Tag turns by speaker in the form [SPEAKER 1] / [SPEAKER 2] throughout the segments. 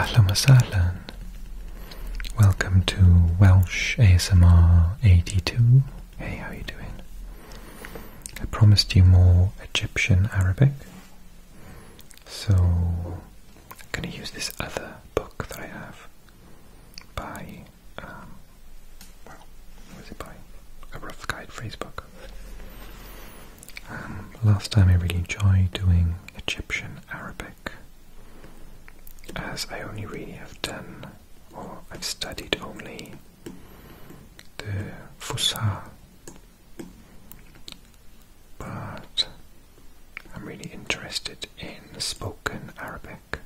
[SPEAKER 1] Ahlan wa Welcome to Welsh ASMR 82. Hey, how you doing? I promised you more Egyptian Arabic, so I'm going to use this other book that I have by, um, well, was it by? A rough guide phrase book last time I really enjoyed doing Egyptian Arabic, as I only really have done, or I've studied only the Fusha. But I'm really interested in spoken Arabic.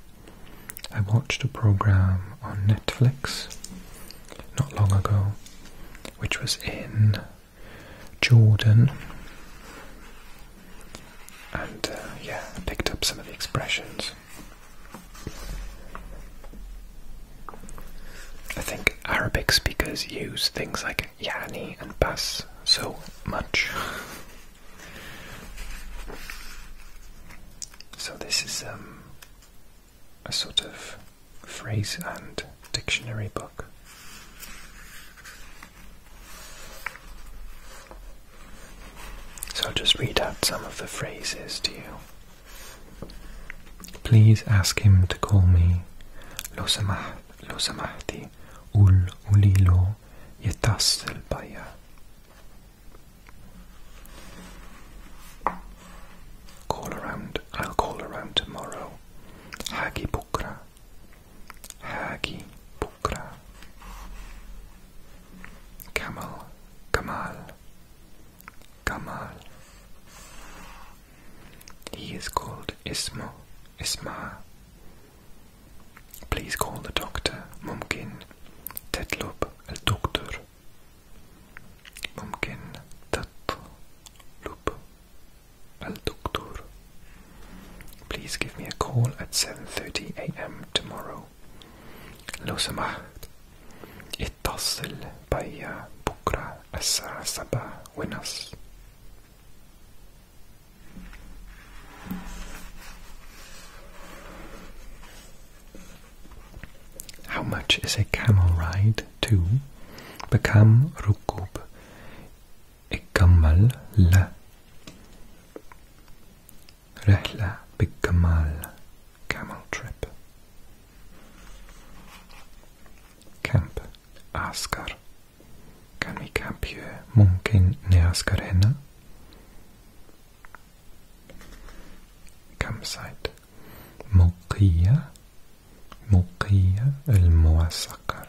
[SPEAKER 1] I watched a program on Netflix not long ago which was in Jordan, and uh, yeah, picked up some of the expressions. I think Arabic speakers use things like yani and bas so much. So this is um, a sort of phrase and dictionary book. So I'll just read out some of the phrases to you. Please ask him to call me لو سمحتي قول قولي له يتصل بيا. Call around. I'll call around tomorrow. Hagi bukra. Hagi bukra. Kamal. Kamal. Kamal. He is called Isma. Isma. Please call the doctor. Mumkin. Tetlub. El doctor. ممكن تطلب الدكتور Please give me a call at 7.30 am tomorrow لو سمحت اتصل بي بكرة الساعة سبعة ونص how much is a camel ride to become rukub? Ekamal la Rehla Bikamal Camel Trip Camp Askar Can we camp here? Mungkin Neaskarena Campsite Mokia مقية المعسكر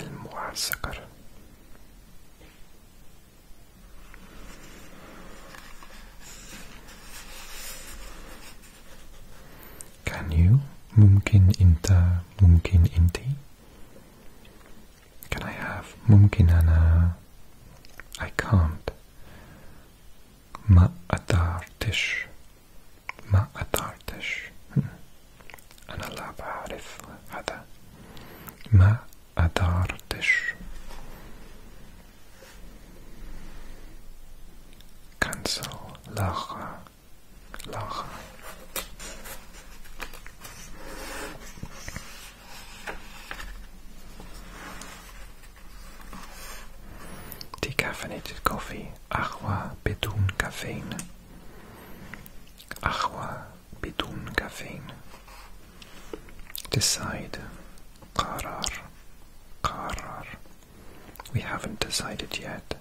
[SPEAKER 1] المعسكر Can you ممكن انت ممكن انتي Can I have ممكن أنا I can't ما أدارتش ما أدارتش أنا لا بعرف هذا ما أدارتش cancel لاغة لاغة Decaffeinated coffee, agua bedun caffeine. Agua bedun caffeine. Decide, qarar, qarar. We haven't decided yet.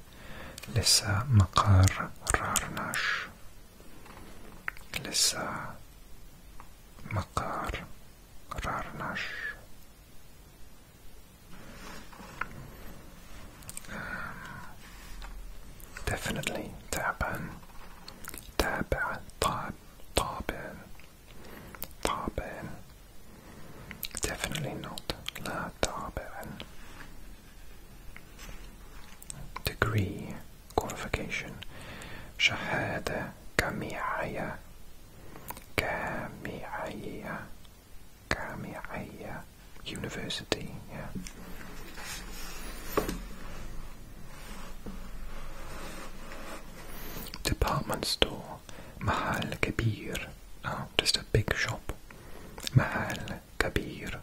[SPEAKER 1] Lissa makar rarnash. Lissa makar kararlar um, definitely taban taban taban taban taban definitely not la taban degree qualification shahada kamiyaya Kami aya, kami aya, University, yeah. Department store, Mahal Kabir, oh, just a big shop, Mahal Kabir.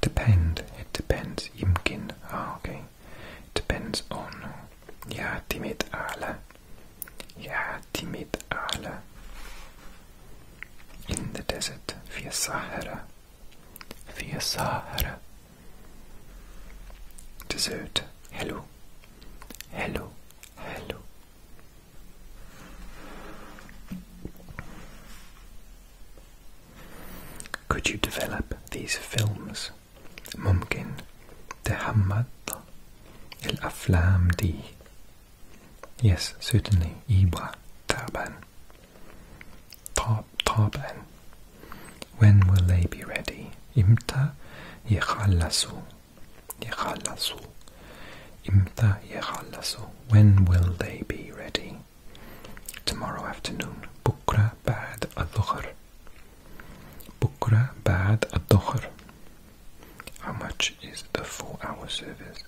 [SPEAKER 1] Depends. it depends, Imkin ah, okay depends on ja timid alle. Ja timid alle. In the desert, via Sahara. Via Sahara. Desert, hello. Hello, hello. Could you develop these films? ممكن تحمض الأفلام دي Yes, certainly إيبا طبعا طب طبعا When will they be ready? إمتى يخلصوا يخلصوا إمتى يخلصوا When will they be ready? Tomorrow afternoon بكرة بعد الظهر بكرة بعد الظهر How much is a four hour service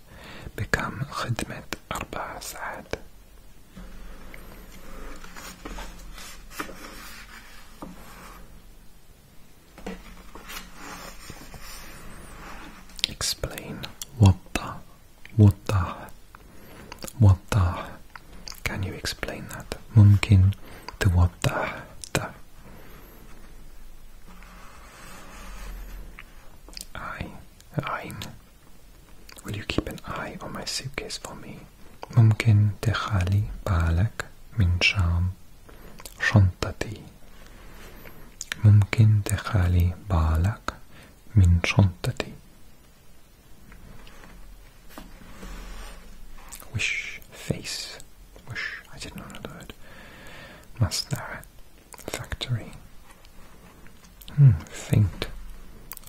[SPEAKER 1] بكم خدمة أربع ساعات Explain وضح وضح What Waddah. Can you explain that? Mumkin to waddah. I, Ein. Will you keep an eye on my suitcase for me? ممكن تخالي بالك من shontati. شنطتي ممكن تخالي بالك من شنطتي Wish face. Wish. I didn't know another word. Masnara. Factory. Hmm, faint.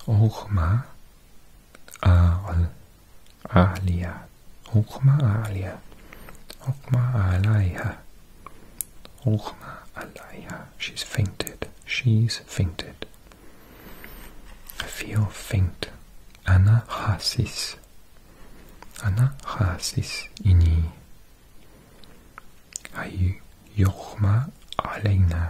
[SPEAKER 1] Ochma. Aal. Alia. Ochma alia. Ochma alaiha. Ochma alaiha. She's fainted. She's fainted feel faint. ana hasis ini. Ay yukhma aleyna.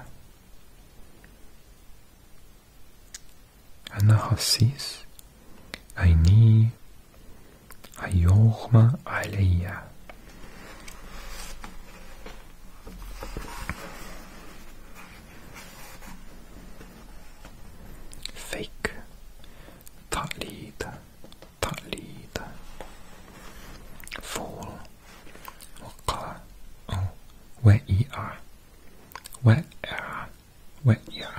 [SPEAKER 1] ini Ayni. yomma aleyya fake تقليد تقليد fall وقع وقيع وقع وقيع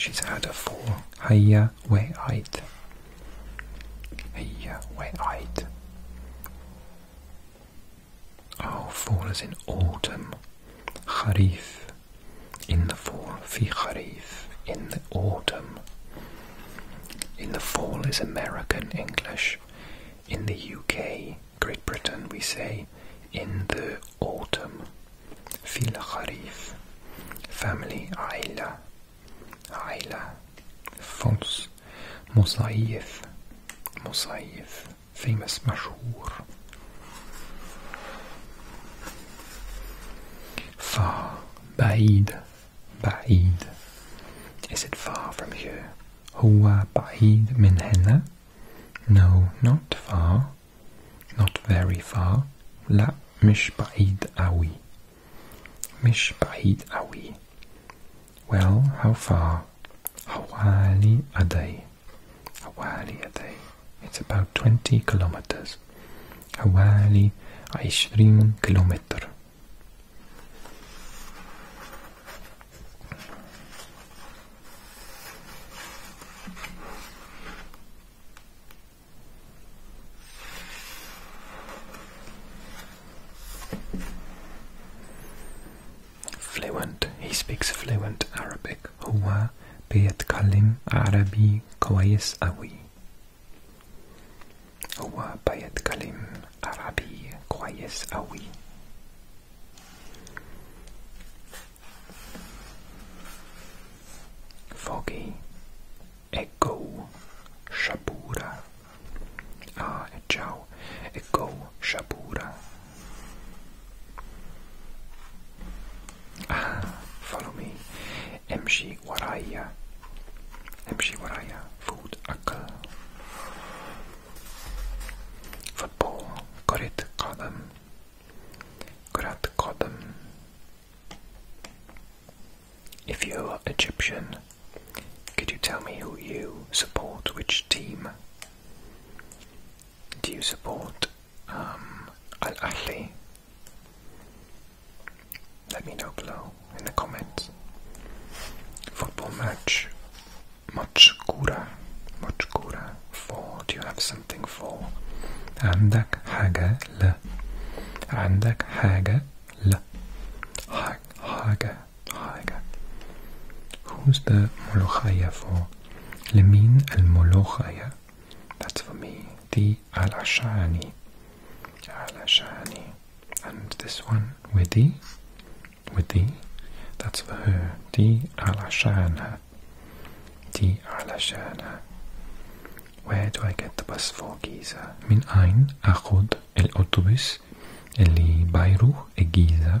[SPEAKER 1] she's had a fall هيا وقعت هيا وقعت our oh, fall is in autumn. Kharif, in the fall. Fi kharif, in the autumn. In the fall is American English. In the UK, Great Britain, we say in the autumn. Fi kharif. Family, aila. Aila. False. Mosaif. Mosaif famous mashhur. Far, ba'id, ba'id. Is it far from here? Huwa ba'id min henna? No, not far. Not very far. La mish ba'id awi. Mish ba'id awi. Well, how far? Hawali a day. Hawali a day. It's about 20 kilometers. How Hawali 20 kilometer. Fluent. He speaks fluent Arabic. هو بيتكلم عربي كويس أوي. هو بيتكلم عربي كويس أوي. Foggy. Echo. Shabura. Ah, ciao, e go, Shapura. Ah, follow me. MG Waraya. MG Waraya, food, akal. Football, Korit Kadam. Korat Kadam. If you're Egyptian, could you tell me who you support, which team? Do you support um, Al Ahly? Let me know below in the comments. Football match, Mochkura, Mochkura for. Do you have something for? عندك حاجة ل عندك حاجة ل حاجة حاجة Who's the Molochaya for? لمين الملوخية That's for me The علشاني علشاني And this one with the With the That's for her دي علشانها دي علشانها Where do I get the bus for Giza? من أين أخذ الأوتوبيس اللي بيروح الجيزة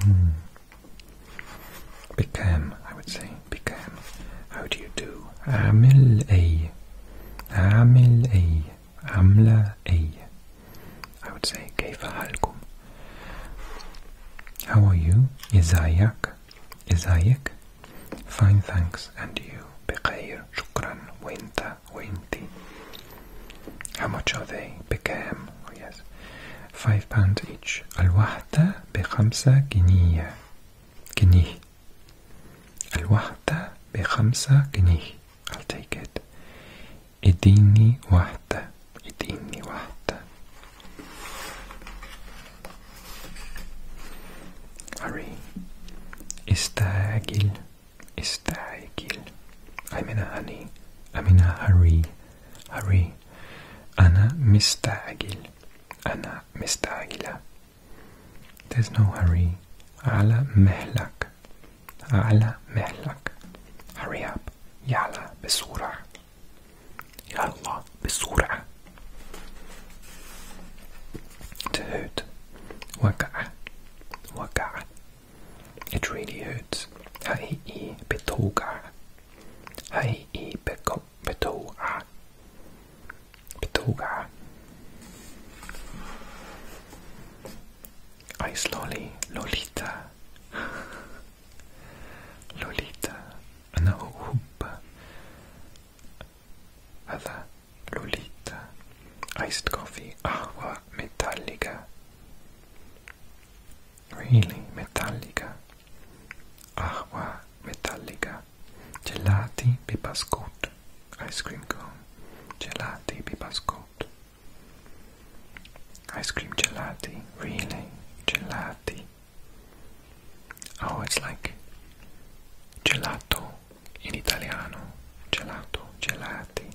[SPEAKER 1] Mm. Became, I would say, became. How do you do? Amil a. Amil a. Amla a. I would say, Kaifa halkum. How are you? Isayak. Isayak. Fine, thanks. And you? Bikhair. Shukran. Winta. Winta. ninety. How much are they? بكام? Oh yes, five pounds each. الوحدة بخمسة جنيه. جنيه. الوحدة بخمسة جنيه. I'll take it. اديني واحدة. اديني واحدة. Hurry. استعجل. استعجل I mean honey I mean hurry hurry أنا مستعجل أنا مستعجلة There's no hurry على مهلك على مهلك Hurry up يلا بسرعة يلا بسرعة تهد وقع وقع It really hurts. Hai i betoga. Hai i peto betoga. Betoga. Ice lolly, Lolita. Lolita. No, hoop. Other Lolita. Iced coffee. Agua ah, metallica really metallica, agua metallica, gelati bibascot, ice cream cone, gelati bibascot, ice cream gelati, really gelati. Oh, it's like gelato in Italiano, gelato, gelati.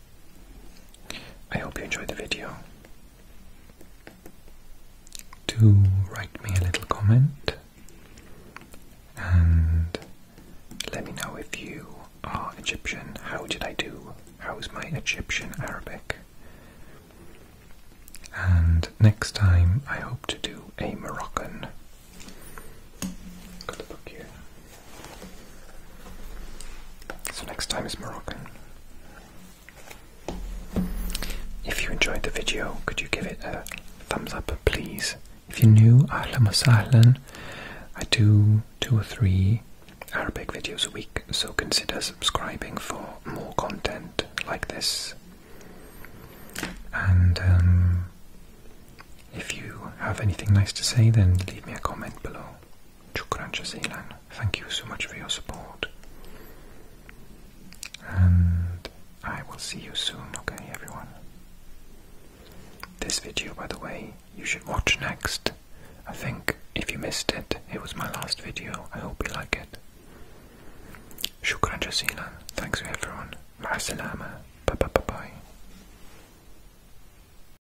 [SPEAKER 1] I hope you enjoyed the video. Do write me a little comment and let me know if you are Egyptian. How did I do? How's my Egyptian Arabic? And next time I hope to do a Moroccan. Got the book so next time is Moroccan. If you enjoyed the video, could you give it a thumbs up, please? If you're new, ahlan wa sahlan. I do two or three Arabic videos a week, so consider subscribing for more content like this. And um, if you have anything nice to say, then leave me a comment below. Thank you so much for your support. And I will see you soon, okay, everyone? This video, by the way, you should watch next. I think if you missed it, it was my last video. I hope you like it. Shukran Jazilan. Thanks everyone. Ma salama. Bye bye bye bye.